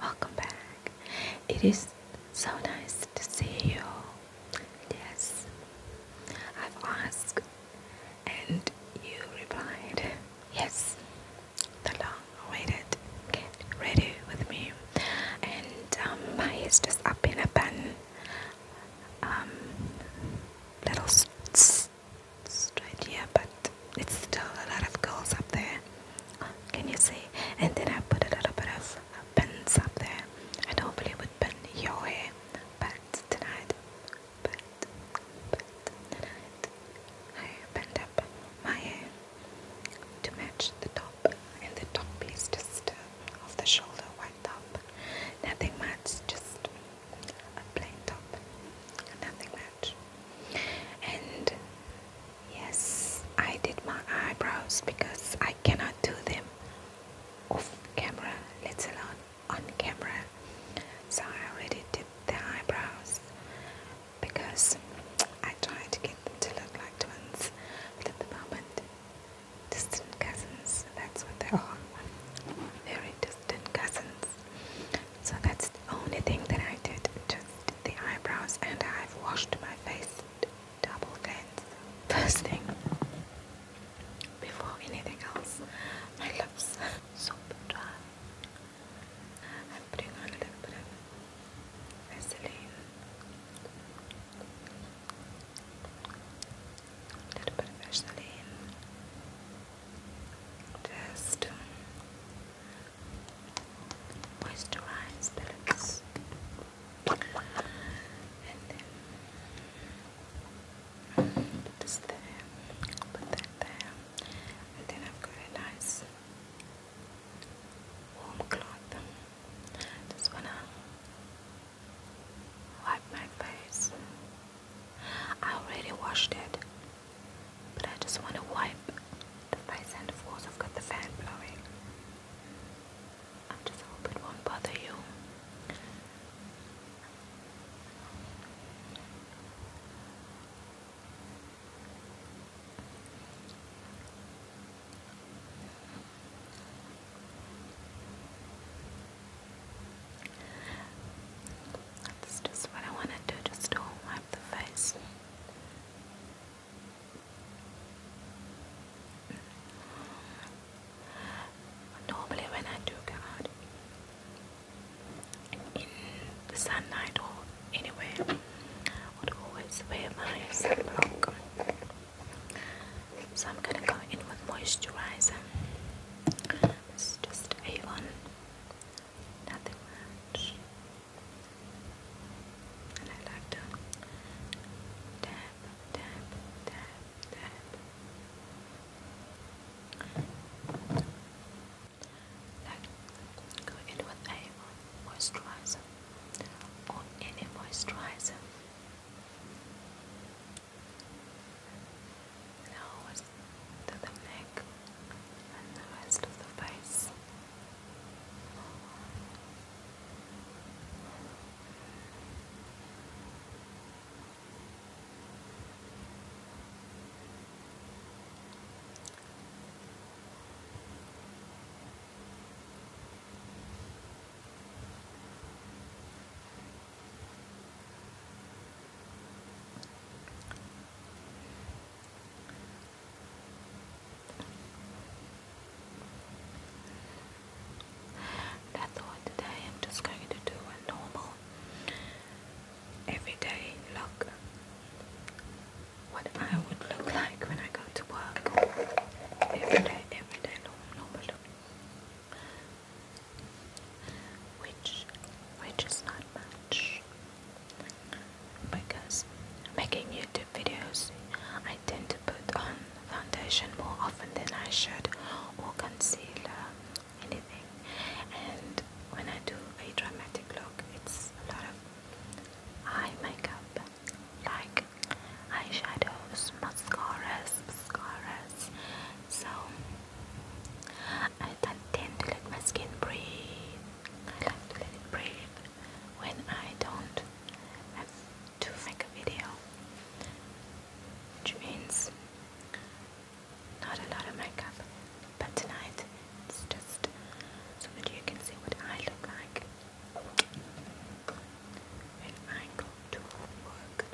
Welcome back. It is so nice to see you. Yes, I've asked and you replied. Yes, the long awaited get ready with me. And um, my is just up in a bun. Um, little straight yeah but it's still a lot of goals up there. Can you see? And then I put a little bit of pins up there. I don't really would pin your hair, but tonight, but, but I pinned up my hair to match the top and the top piece just uh, off the shoulder, white top. Nothing much, just a plain top. Nothing much. And yes, I did my eyebrows because I cannot do them off camera, let us alone on camera. So I already did the eyebrows because I try to get them to look like twins, but at the moment, distant cousins, that's what they are. Very distant cousins. So that's the only thing that I did, just the eyebrows, and I've washed my face double cleanse first thing before anything else. My lips soap dry. I'm putting on a little bit of Vaseline, a little Vaseline. Just um, moisturize pellets and then put this there, put that there and then I've got a nice warm cloth just wanna wipe my face I already washed it but I just want to wipe the face, and of course I've got the fan blowing. I just hope it won't bother you. That's just what I want to do, just to wipe the face. Normally when I do go in the sunlight or anywhere, I would always wear my sunblock. So I'm gonna go in with moisturizer. This is just Avon nothing much. And I like to tap, tap, tap, tap. Like go in with a moisturizer or any moisturizer nose to the neck and the rest of the face. That's all today. I'm just going to do a normal everyday look. What I would look like when I go to work. Everyday, everyday normal look. Which, which is not much. Because making YouTube videos, I tend to put on foundation more often than I should, or concealer, uh, anything. And when I do a dramatic look, it's a lot of eye makeup, like eyeshadows, mascaras, mascaras. So I tend to let my skin breathe. I like to let it breathe when I don't have to make a video, which means not a lot of makeup. But tonight it's just so that you can see what I look like when I go to work.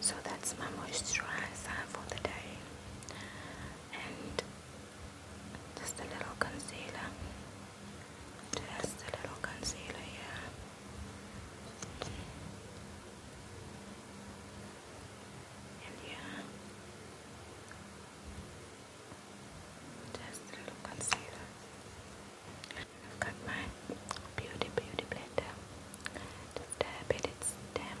So that's my moisturizer for the day and just a little concealer. Just a little concealer here. And yeah, just a little concealer. I've got my beauty beauty blender. Just dab it, it's damp.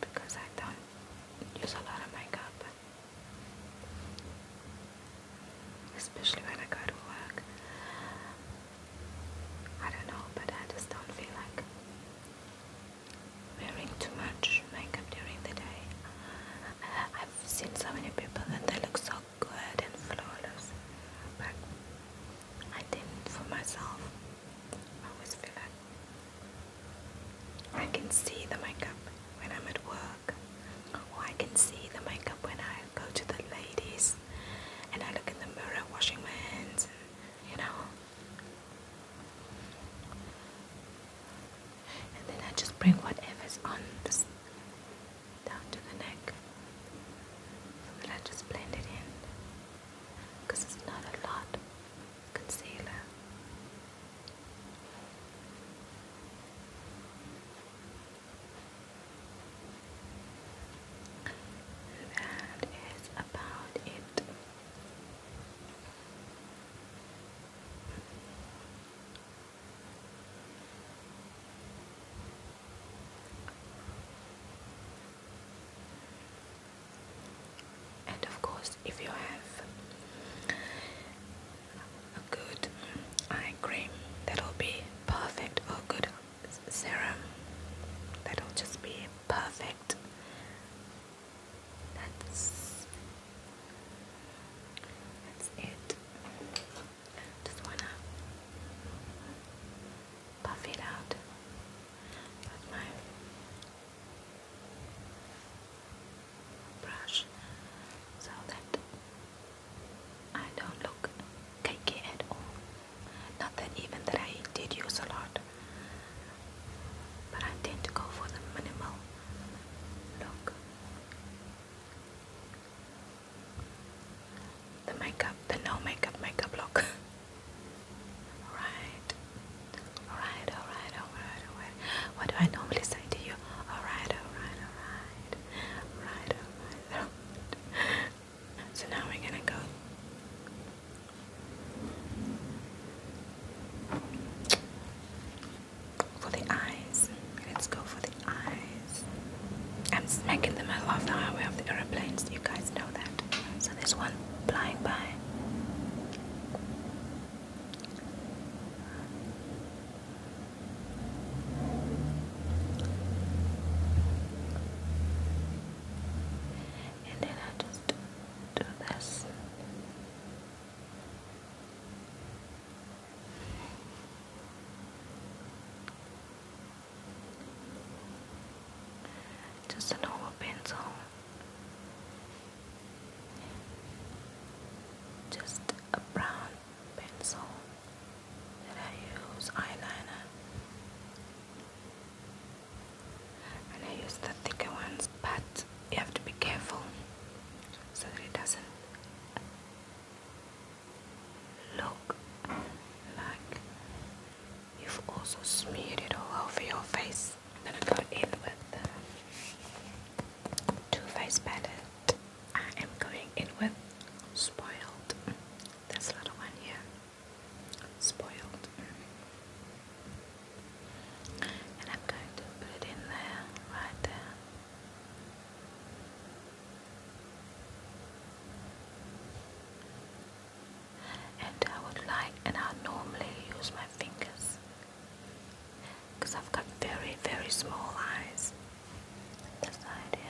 because I don't use a lot of makeup, especially when I go to work. I don't know, but I just don't feel like wearing too much makeup during the day. I've seen so many people that they look so good and flawless, but I didn't for myself. I always feel like I can see the makeup when I'm at work, or I can see the makeup when I go to the ladies and I look in the mirror washing my hands, and, you know. And then I just bring whatever's on this down to the neck. So then I just blend it in because it's not a lot of concealer. that is about it and of course if you have a good eye cream that'll be perfect or good serum that'll just be perfect that's that's it just wanna puff it out with my brush so that I don't look cakey at all. Not that even that I did use a lot, but I tend to go for the minimal look the makeup, the no makeup makeup look. alright, alright, alright, alright, alright. What do I normally say to you? alright, alright, alright, alright, alright. So now we're gonna go. For the eyes, let's go for the eyes. I'm smacking the middle of the highway of the aeroplanes. You guys know that. So there's one flying by. And then I just do this. Just a normal pencil. Just a brown pencil that I use eyeliner. And I use the thicker ones, but you have to be careful so that it doesn't look like you've also smeared it all over your face. I'm gonna go in with the Too palette. I am going in with Spoiled. This little one here. Spoiled. And I'm going to put it in there, right there. And I would like, and I normally use my fingers because I've got very, very small eyes. This idea.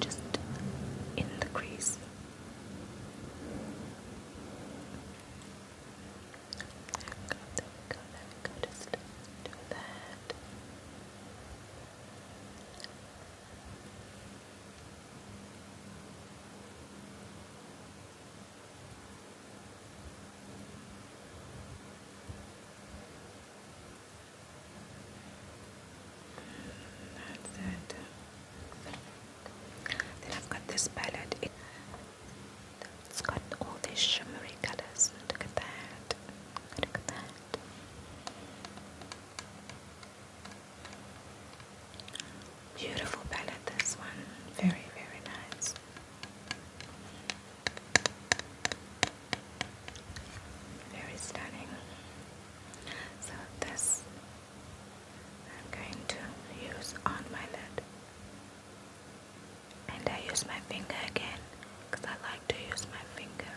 Just in the crease. go, there go, there go. Just do that. That's it. Then I've got this palette. It's got all these shimmery colors. Look at that. I'm that. Beautiful palette, this one. Very, very nice. Very stunning. So, this I'm going to use on my lid and I use my finger again because I like to use my finger.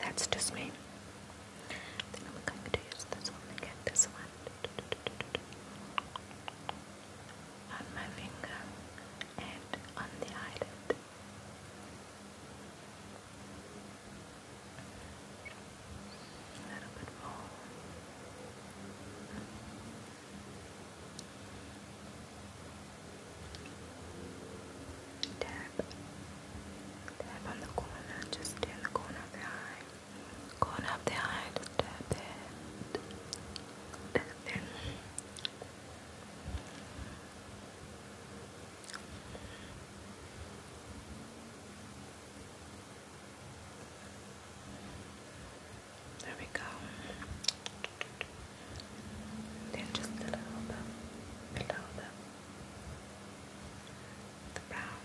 That's just me. Then I'm going to use this one again, this one on my finger and on the eyelid. A little bit more. Tap. Tap on the corner, just in the corner of the eye. Corner just tap it. Tap it. There we go. Then just a little bit below the, brown.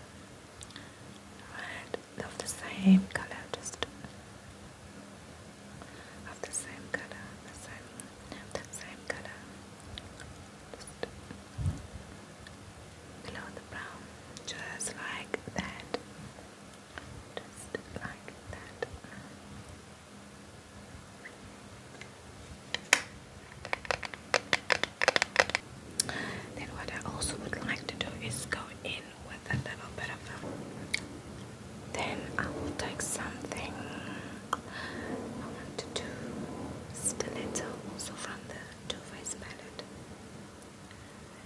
Right, of the same color, just of the same color, the same, same color, just below the brown, just like that. Then what I also would like to do is go in with a little bit of then I will take something I want to do stiletto also from the Too Faced palette.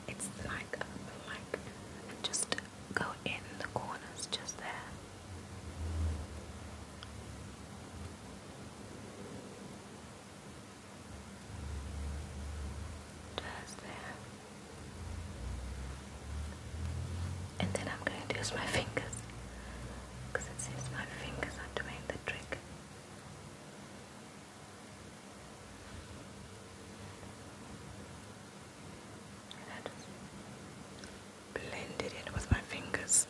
It's like like just go in the corners just there. Just there. And then I'm going to use my fingers because it seems my fingers are doing the trick. And I just with my fingers.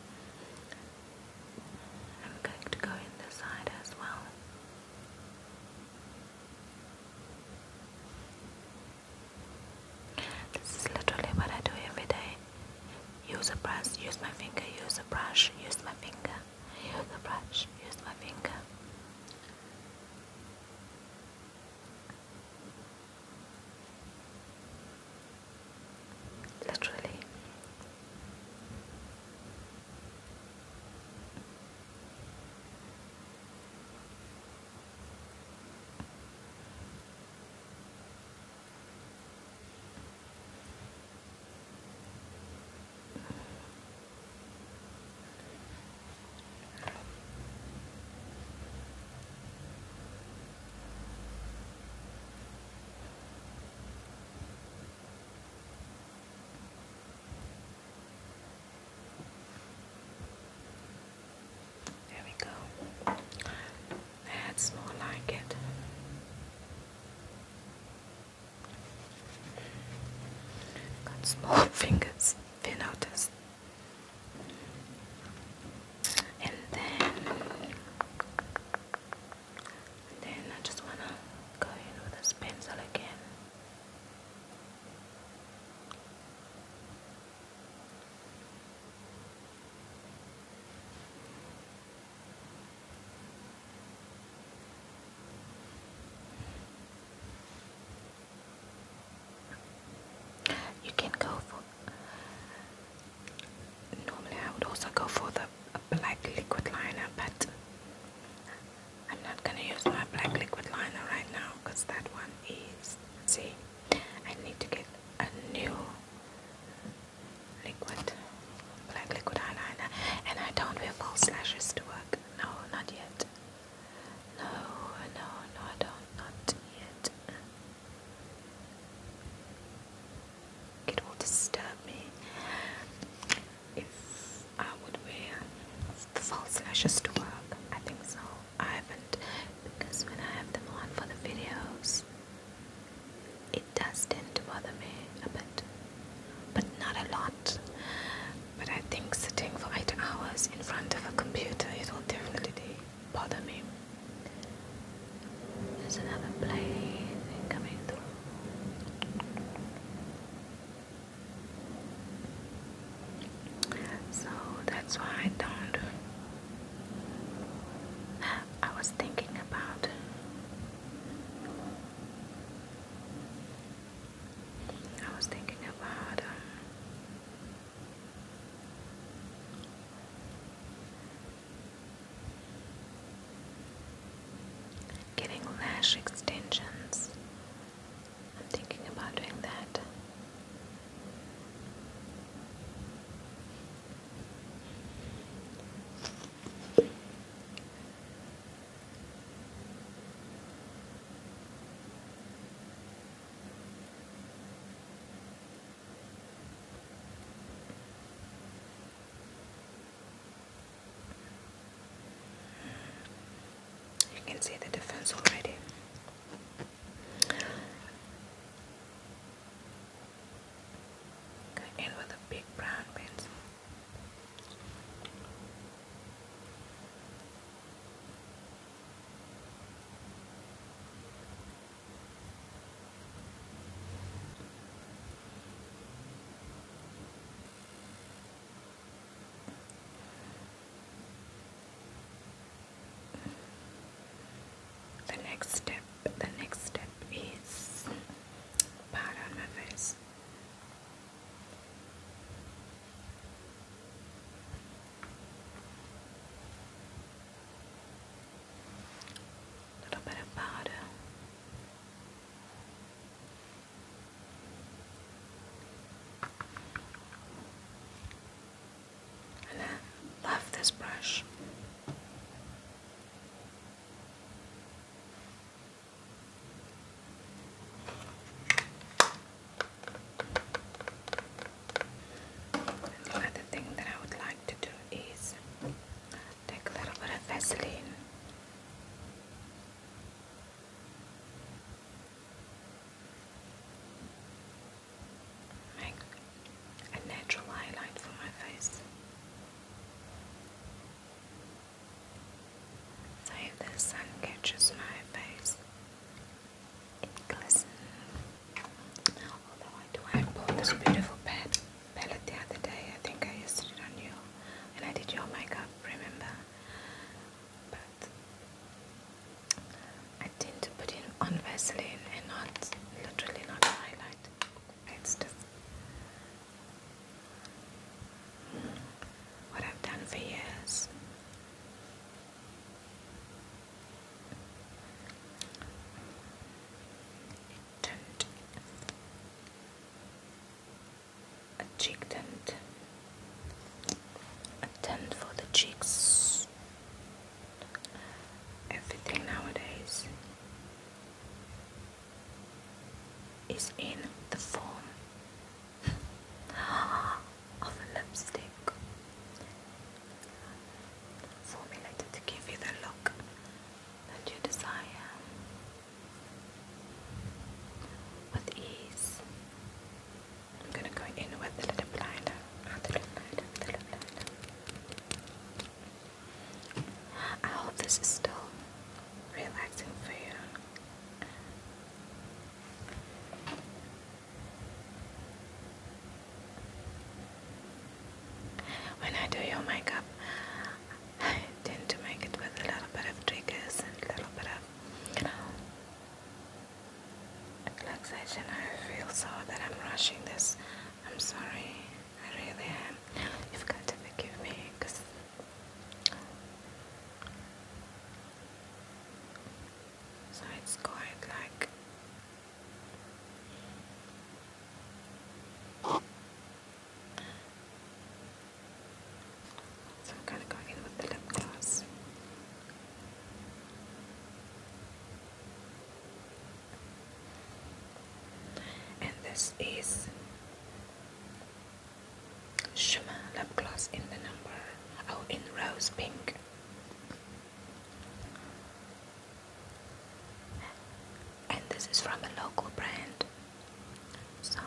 I'm going to go in this side as well. This is literally what I do every day. Use a brush, use my finger, use a brush, use my finger, use a brush, use my finger. Literally. There we go. That's more like it. Got small fingers, if you notice. And then, then I just wanna go in with this pencil again. You can go for. Normally, I would also go for the black liquid liner, but I'm not gonna use my black liquid liner right now because that one is. See, I need to get a new liquid, black liquid eyeliner, and I don't have false lashes to work. No, not yet. No, no, no, I don't, not yet. It will disturb me if I would wear the false lashes to work. I think so. I haven't because when I have them on for the videos, it does tend to bother me a bit but not a lot. But I think sitting for eight hours in front of a computer, it will definitely bother me. There's another plane coming through. So that's why I don't. I was thinking about I was thinking about uh, getting lash extensions. I'm thinking about doing that. You can see the defense already. Go with a big brown pencil. The next step, the next step is powder on my face. A little bit I love this brush. Another thing that I would like to do is take a little bit of Vaseline make a natural highlight for my face. So the sun catches my face, it glistens. I do, I bought this beautiful pad palette the other day. I think I used on you, and I did your makeup. Remember? But I tend to put in on Vaseline and not literally not highlight. It's just what I've done for years. It turned a for the cheeks. Everything nowadays is in the form of a lipstick formulated to give you the look that you desire with ease. I'm going to go in with a little blinder, a ah, little blinder, a little blinder. I hope this is still relaxing for you. When I do your makeup, I tend to make it with a little bit of triggers and a little bit of, relaxation. I feel so that I'm rushing this. I'm sorry. I really am. You've got to forgive me because so it's quite like so I'm gonna go in with the lip gloss. And this is Shimmer, lip gloss in the number, oh, in rose pink. And this is from a local brand. So,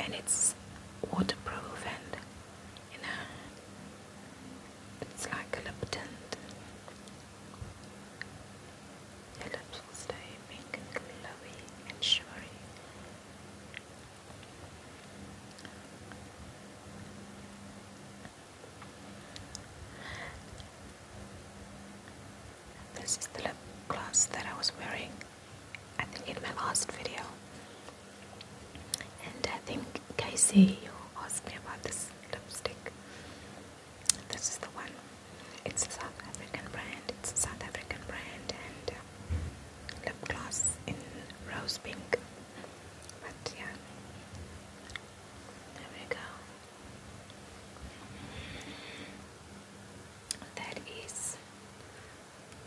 and it's waterproof and you know, it's like a lip tint. Your lips will stay pink and glowy and shimmery. This is the lip gloss that I was wearing, I think, in my last video. And I think, Casey, asked me about this lipstick. This is the one. It's a South African brand. It's a South African brand and uh, lip gloss in rose pink. But yeah, there we go. That is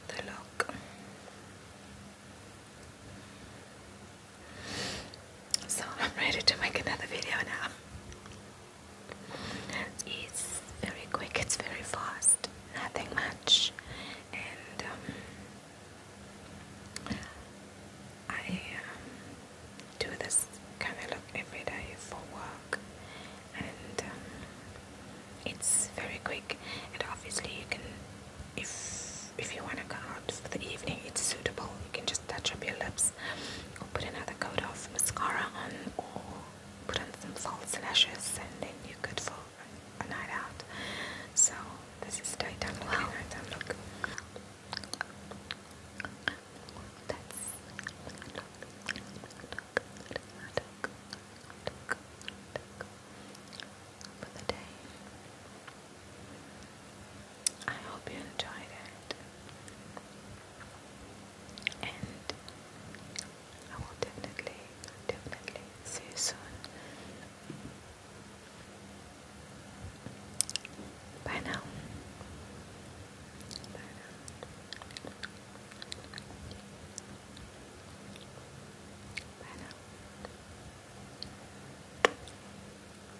the look. So I'm ready to make another video now. It's very quick, it's very fast, nothing much, and um, I um, do this kind of look every day for work, and um, it's very quick. And obviously, you can, if if you want to go out for the evening, it's suitable. You can just touch up your lips lashes. I'll put another coat of mascara on or put on some false lashes and then you're good for a night out. So this is daytime look, wow. nighttime look. That's for the I hope you enjoyed it. And I will definitely, definitely see you soon. Bye now. Bye now. Bye now.